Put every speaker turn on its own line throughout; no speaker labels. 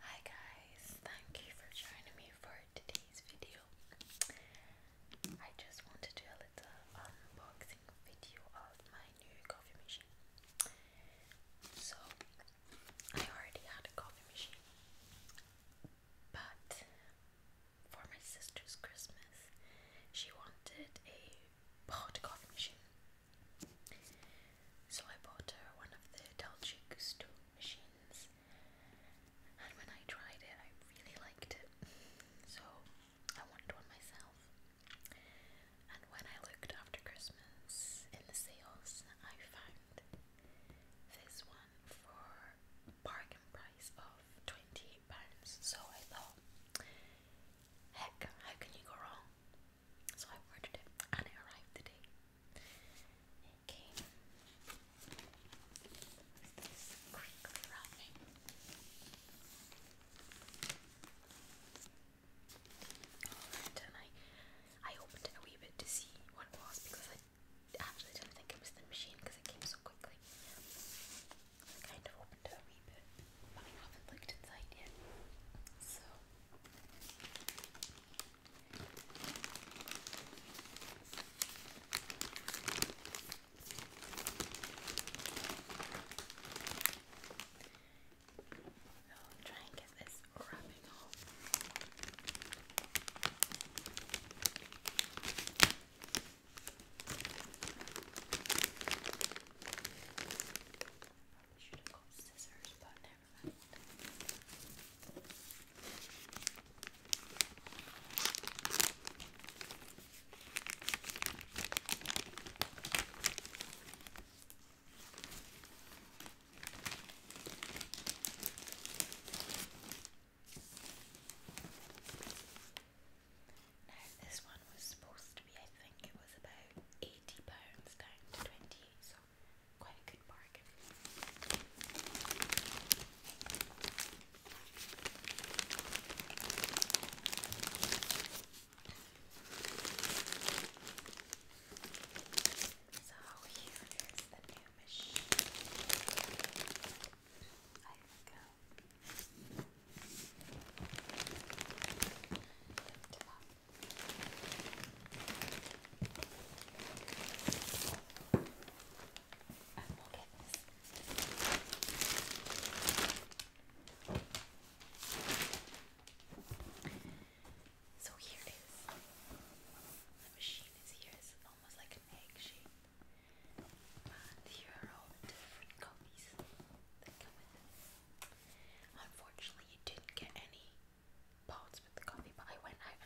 Hi guys, thank you for joining me for today's video. I just wanted to do a little unboxing video of my new coffee machine. So, I already had a coffee machine, but for my sister's Christmas, she wanted a pot coffee machine. So I bought her one of the Dolce Gusto machines, and when I tried it, I really liked it. So I wanted one myself. And when I looked after Christmas in the sales, I found this one for bargain price of twenty eight pounds. So I thought, heck, how can you go wrong? So I ordered it and it arrived today. It came with and I I opened it a wee bit to see what was because I actually didn't think it was the machine because it came so quickly. I kind of opened it a wee bit. I haven't looked inside yet, so I'll try and get this wrapping off. I should have got scissors, but never mind. Now this one was supposed to be, I think it was about £80 down to twenty, so quite a good bargain. So here is the new machine. I go. And we So here it is. The machine is here, it's almost like an egg shape. And here are all the different copies that come Unfortunately, you didn't get any pots with the coffee, but I went out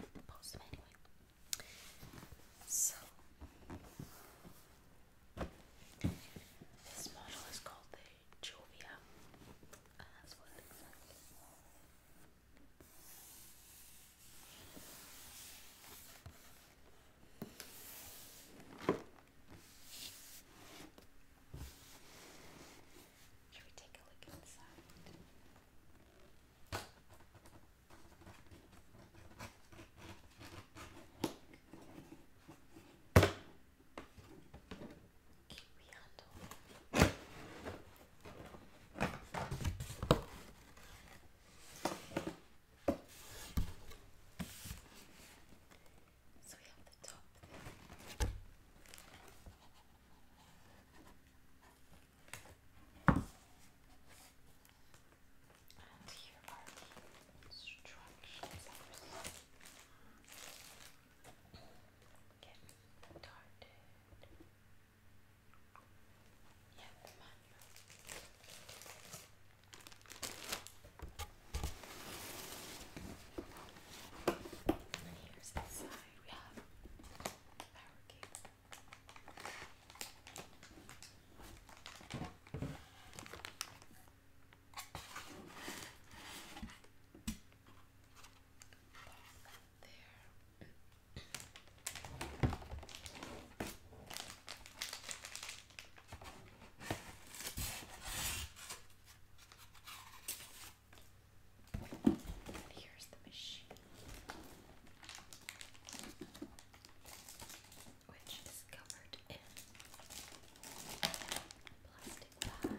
and posted them anyway. So, this model is called the Jovia, and uh, that's should we take a look inside? Keep handle. So we have the top And here are the instructions. Get started. Yeah, manual. And here's the side. We have power cable. There. And here's the machine, which is covered in plastic bag.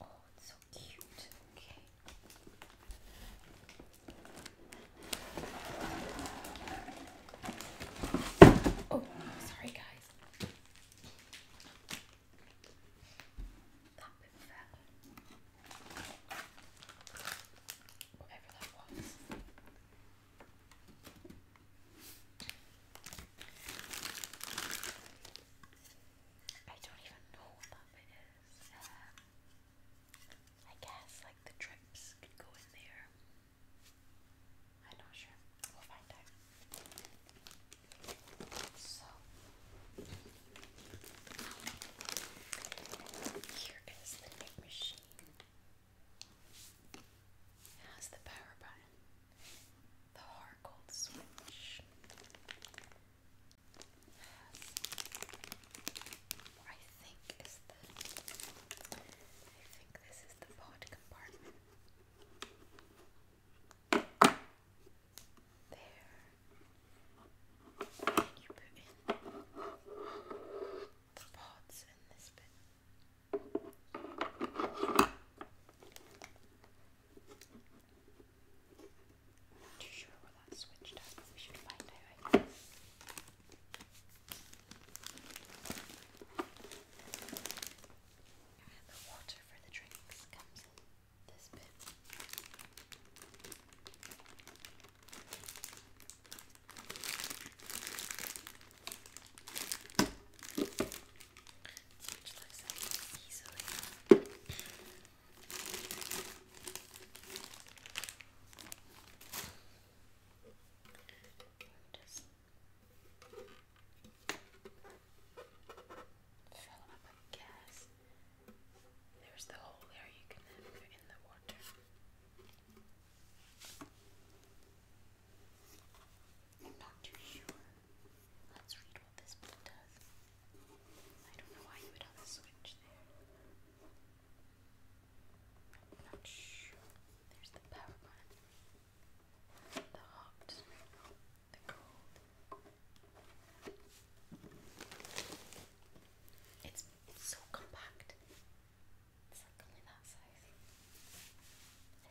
Oh, it's so cute. Okay. Oh, sorry, guys. That bit fell. Whatever that was. I don't even know what that is. Um, I guess like the drips could go in there. I'm not sure. We'll find out. So here is the big machine. It has the power button. The Harcold Switch. I think is the I think this is the pod compartment. There. And you put in the pods in this bit. Not too sure where that switch does, we should find out. And the water for the drinks comes in this bit which fill up with gas. There's the hole there you can then put in the water. I'm not too sure. Let's read what this one does. I don't know why you would have a switch there. I'm not sure. There's the power button. The hot, the cold. It's so compact. It's like only that size.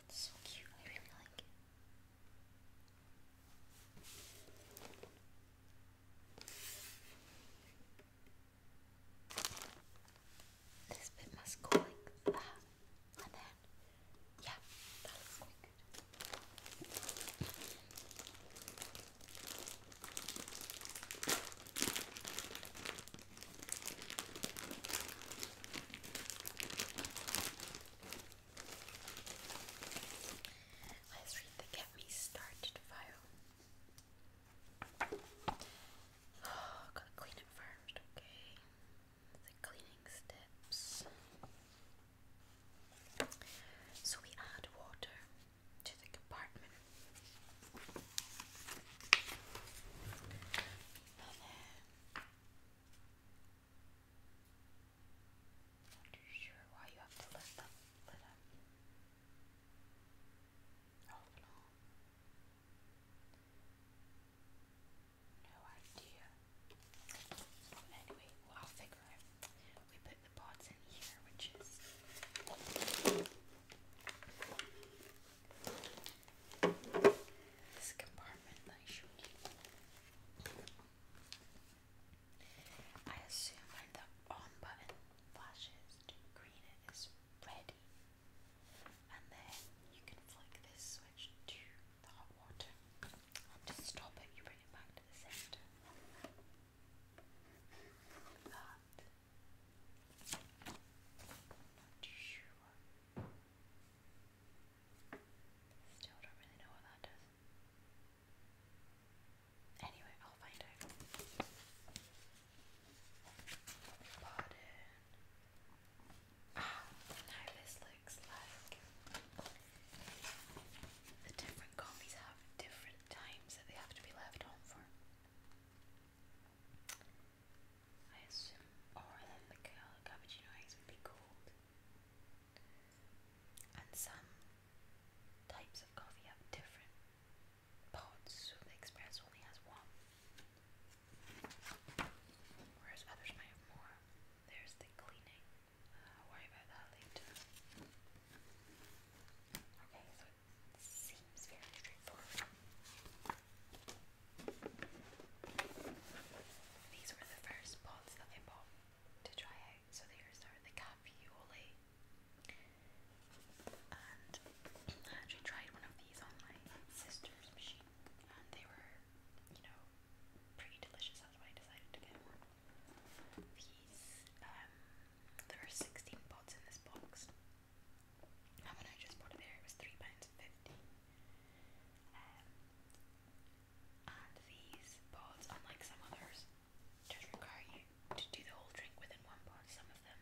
It's so cute, I really like This bit must go like that. And then, yeah, that looks quite good. Let's read the Get Me Started file. Oh, gotta clean it first, okay? The cleaning steps. So we add water to the compartment not too sure why you have to let them let them. no. idea. But anyway, I'll figure it. We put the pots in here, which is this compartment I showed I assume when the on button flashes to green it is ready. And then you can flick this switch to the hot water. And stop it you bring it back to the center. that. Still do Anyway, I'll find out. Ah, now this looks like the different copies have different times that they have to be left on for. I assume, or then the cappuccino eggs would be cold. And some types of coffee have different pods, the express only has one. Whereas others might have more. There's the cleaning. I'll uh, worry about that later. Okay, Seems These were the first pots that I bought to try out. So these are the cavioli. And I actually tried one of these on my sister's machine and they were, you know, pretty delicious. That's why I decided to get These um, there are 16 pots in this box. And when I just bought it there, it was £3.50. Um, and these pods, unlike some others, just require you to do the whole drink within one pot. Some of them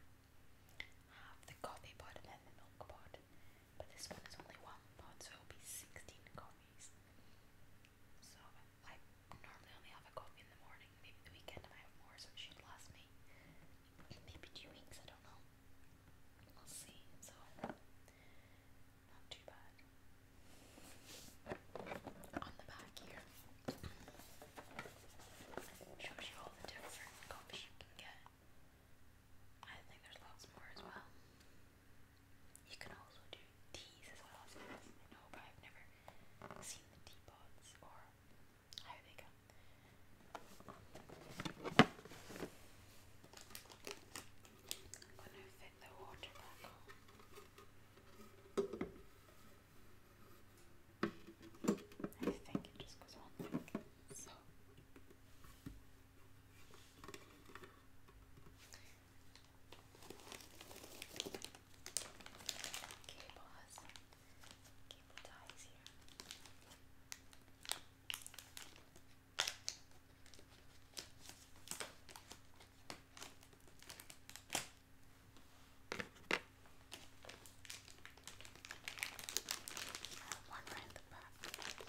have the coffee pot and then the milk pot, but this one is only one pot, so it'll be 16 coffees. So I normally only have a coffee in the morning. Maybe the weekend I might have more, so it should last me maybe two weeks. I don't know. We'll see. So not too bad. On the back here shows you all the different coffees you can get. I think there's lots more as well. You can also do teas as well, as but I've never seen the teapots I'm gonna fit the water back I think it just goes on Cable has some cable ties here. One right in the back. Okay.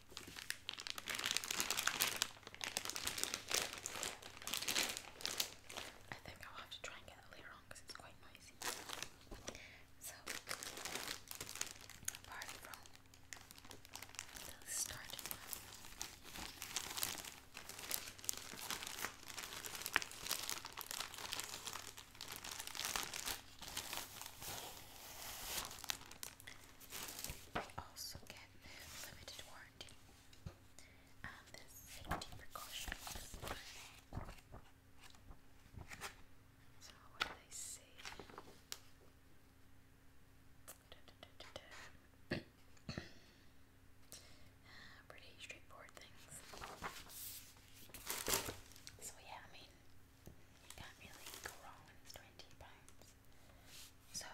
I think I'll have to try and get it later on because it's quite noisy. So, apart from starting we also get limited warranty and um, the safety precautions. So, what do they say? Uh, pretty straightforward things. So, yeah, I mean, so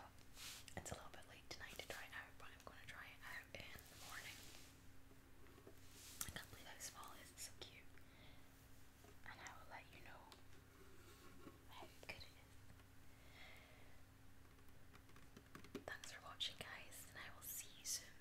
it's a little bit late tonight to try it out, but I'm gonna try it out in the morning. I can't believe how small it's so cute. And I will let you know how good it is. Thanks for watching guys and I will see you soon.